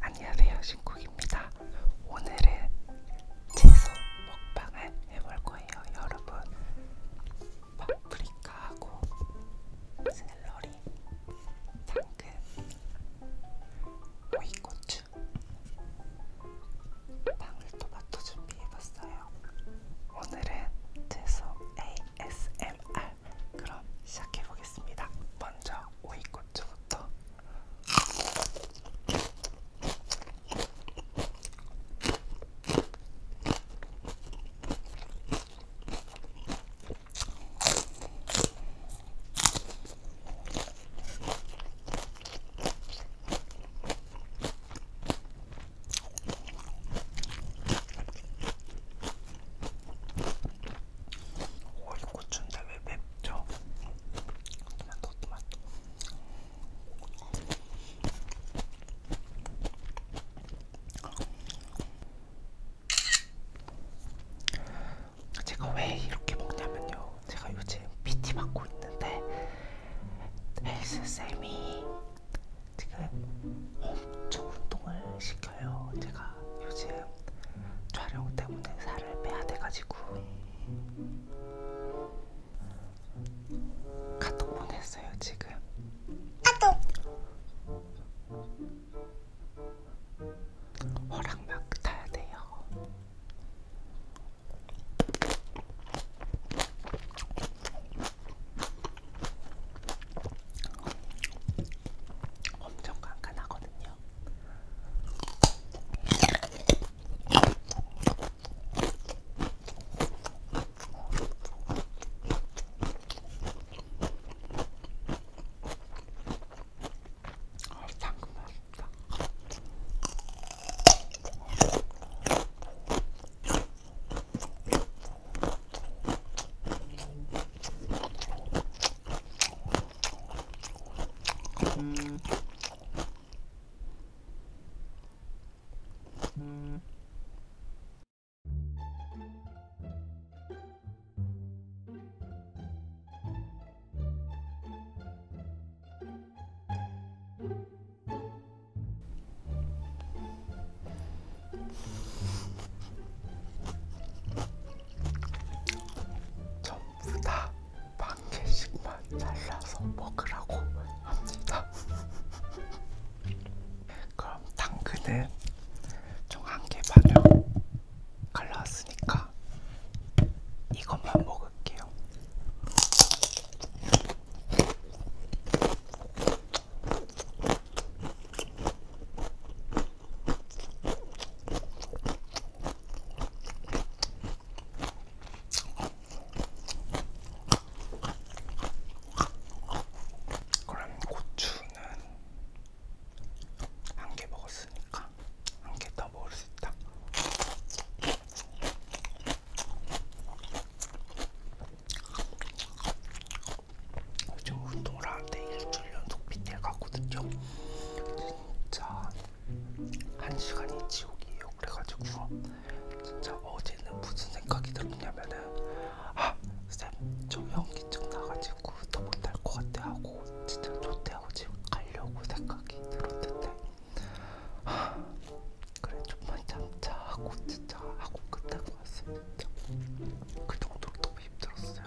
안녕하세요 신쿡입니다. 오늘은 채소 먹방을 해볼 거예요. 여러분 파프리카하고 샐러리, 당근, 오이고추 슈 방울토마토 준비해봤어요. 오늘은 채소 ASMR 그럼 시작해보겠습니다. 먼저 오이고추부터 오이 고추인데 왜 맵죠? 토마토 토마토 제가 왜 이렇게 먹냐면요. 제가 요즘 PT 받고 있는데 헬스쌤이 지금 엄청 운동을 시켜요. 제가 요즘 촬영 때문에 살을 빼야 돼가지고 카톡 보냈어요 지금. 카톡. 허락 막 타야 돼요. 엄청 깐깐하거든요. 아, 당근 맛있다. 음. 음. 전부 다반 개씩만 잘라서 먹으라고 합니다. 그럼 당근은 총한개 반을 갈라왔으니까 이것만 먹을게요. 그럼 고추는 한개 먹었으니까 한 개 더 먹을 수 있다. 요즘 운동을 하는데 일주일 연속 PT를 갔거든요. 진짜 한 시간이 지옥이에요. 그래가지고 진짜 어제는 무슨 생각이 들었냐면은 아쌤저 연기증 나가지고 더 못할 것 같아 하고 진짜 좋대하고 지금 가려고 생각이 들었는데 아 그래 좀만 참자 하고 진짜 하고 끝난 것 같습니다 그 정도로 너무 힘들었어요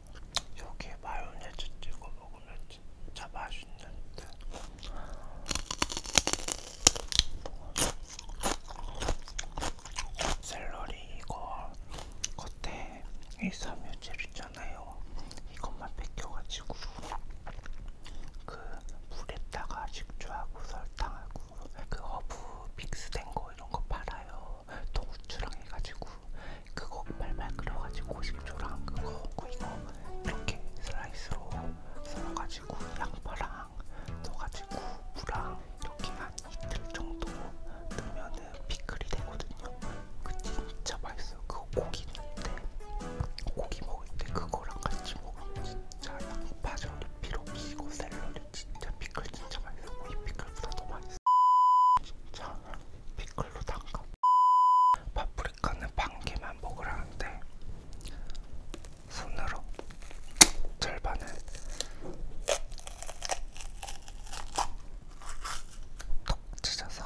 여기에 마요네즈 찍어 먹으면 진짜 맛있는데. 샐러리 이거 겉에 이 섬유질 있잖아요. 이것만 벗겨가지고 그 물에다가 식초하고 설탕하고 그 허브 믹스된 거 이런 거 팔아요. 동우추랑 해가지고 그거 말말 끓여가지고 고식초랑 그거 그리고 이렇게 슬라이스로 썰어가지고 양파랑 넣어가지고 무랑 이렇게 한 이틀 정도 넣으면은 피클이 되거든요. 그 진짜 맛있어요. 그거 고기 넣을 때 고기 먹을 때 그거랑 같이 먹으면 진짜 양파절이 필요 없이 고 샐러리 진짜 피클 진짜 맛있어. 이 피클보다 더 맛있어. 진짜 피클로 담가. 파프리카는 반 개만 먹으라는데 손으로 절반을 톡 찢어서.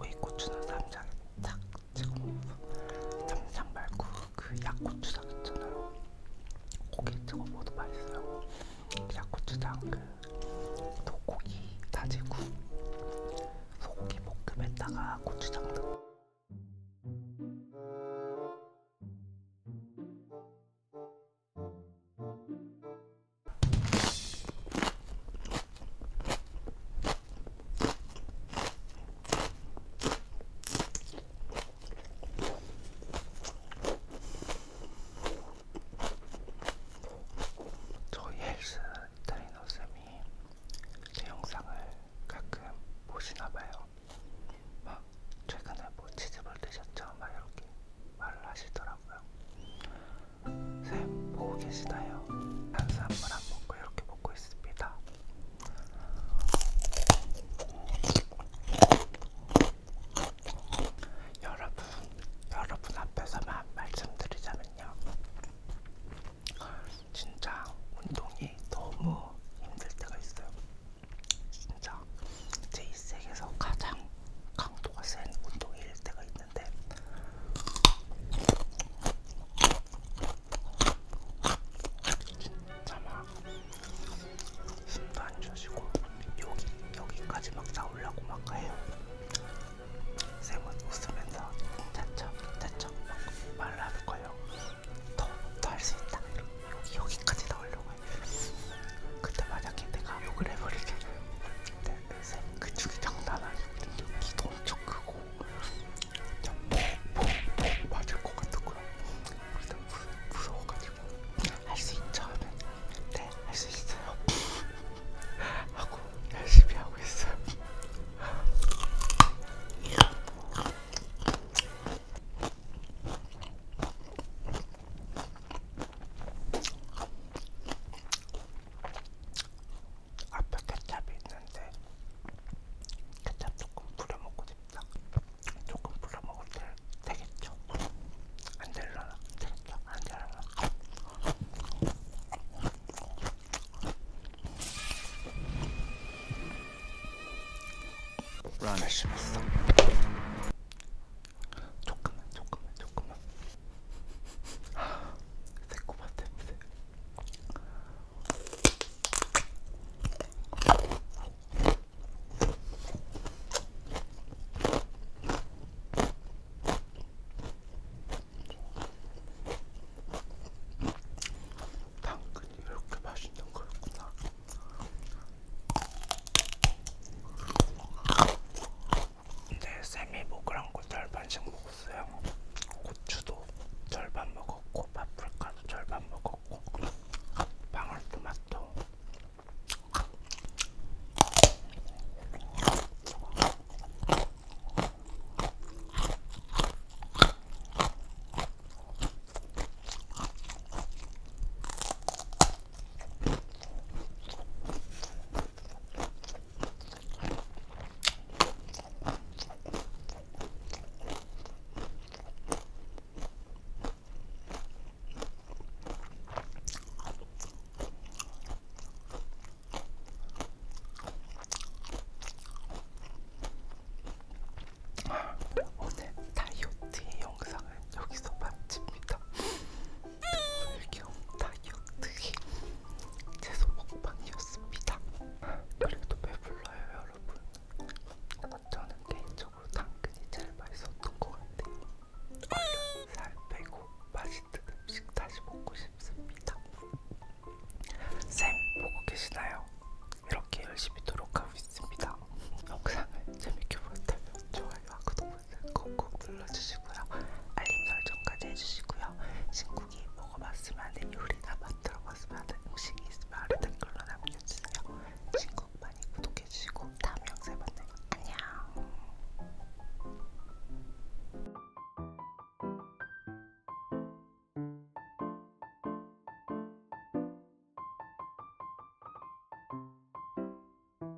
오이 고추는 삼장에 탁 찍어 먹고 삼장 말고 그 약고추장 있잖아요. 고기 찍어 먹어도 맛있어요. 약고추장 그 소고기 다지고 소고기 볶음에다가 고추장 넣고. 저희 헬스 트레이너 쌤이 제 영상을 가끔 보시나봐요. 막 최근에 뭐 치즈볼 드셨죠? 막 이렇게 말을 하시더라고요. 쌤 보고 계시나요? 탄수화물 안 먹고 이렇게 먹고 있습니다. 여러분, 여러분 앞에서만 말씀드리자면요. 진짜 운동이 너무 힘들 때가 있어요. 진짜 제 일생에서 가장 강도가 센 운동일 때가 있는데 진짜 막 숨도 안 쉬시고 여기 여기까지 막 나오려고 막 해요. 쌤은 웃으면서 자쳐 자쳐 막 말을 하는 거예요. 더 더 할 수 있다. 여기 여기까지 나오려고 해. 근데 만약에 내가 욕을 해버리잖아요. 근데 네, 쌤그 축이 장난 아니거든요. 키도 엄청 크고 그냥 폭폭폭 뭐, 뭐, 뭐 맞을 것 같았고요. 그래서 무서워가지고 할 수 있죠 하면 네, 네할수 있어요 하고 열심히 하고 있어요. 앞에 케찹이 있는데 케찹 조금 뿌려먹고 싶다. 조금 뿌려먹을 때 되겠죠? 안 되려나? 되겠죠? 안 되려나? 란을 심었어. 조금만, 조금만, 조금만. 새콤한 아, 냄새. 당근이 이렇게 맛있는 거였구나. 근데 네, 쌤이 먹으란 거 절반씩 먹었어요. 고추도 절반 먹었고, 파프리카도 절반 먹었고, 방울토마토. 네, 오늘 다이어트의 영상은 여기서 마칩니다. 발경 타격뜨기 채소 먹방이었습니다. 그래도 배불러요 여러분. 저는 개인적으로 당근이 제일 맛있었던 것 같아요. 얼른 살 빼고 맛있는 음식 다시 먹고 싶습니다. 쌤 보고 계시나요? 이렇게 열심히 노력하고 있습니다. 영상을 재밌게 보셨다면 좋아요와 구독 버튼 콕콕 눌러주시고요. 알림 설정까지 해주시고요. 친구기 먹어봤으면 하는 요리나 만들어봤으면 하는 음식이 있으면 아래 댓글로 남겨주세요. 친구 많이 구독해주시고 다음 영상에 만나요. 안녕.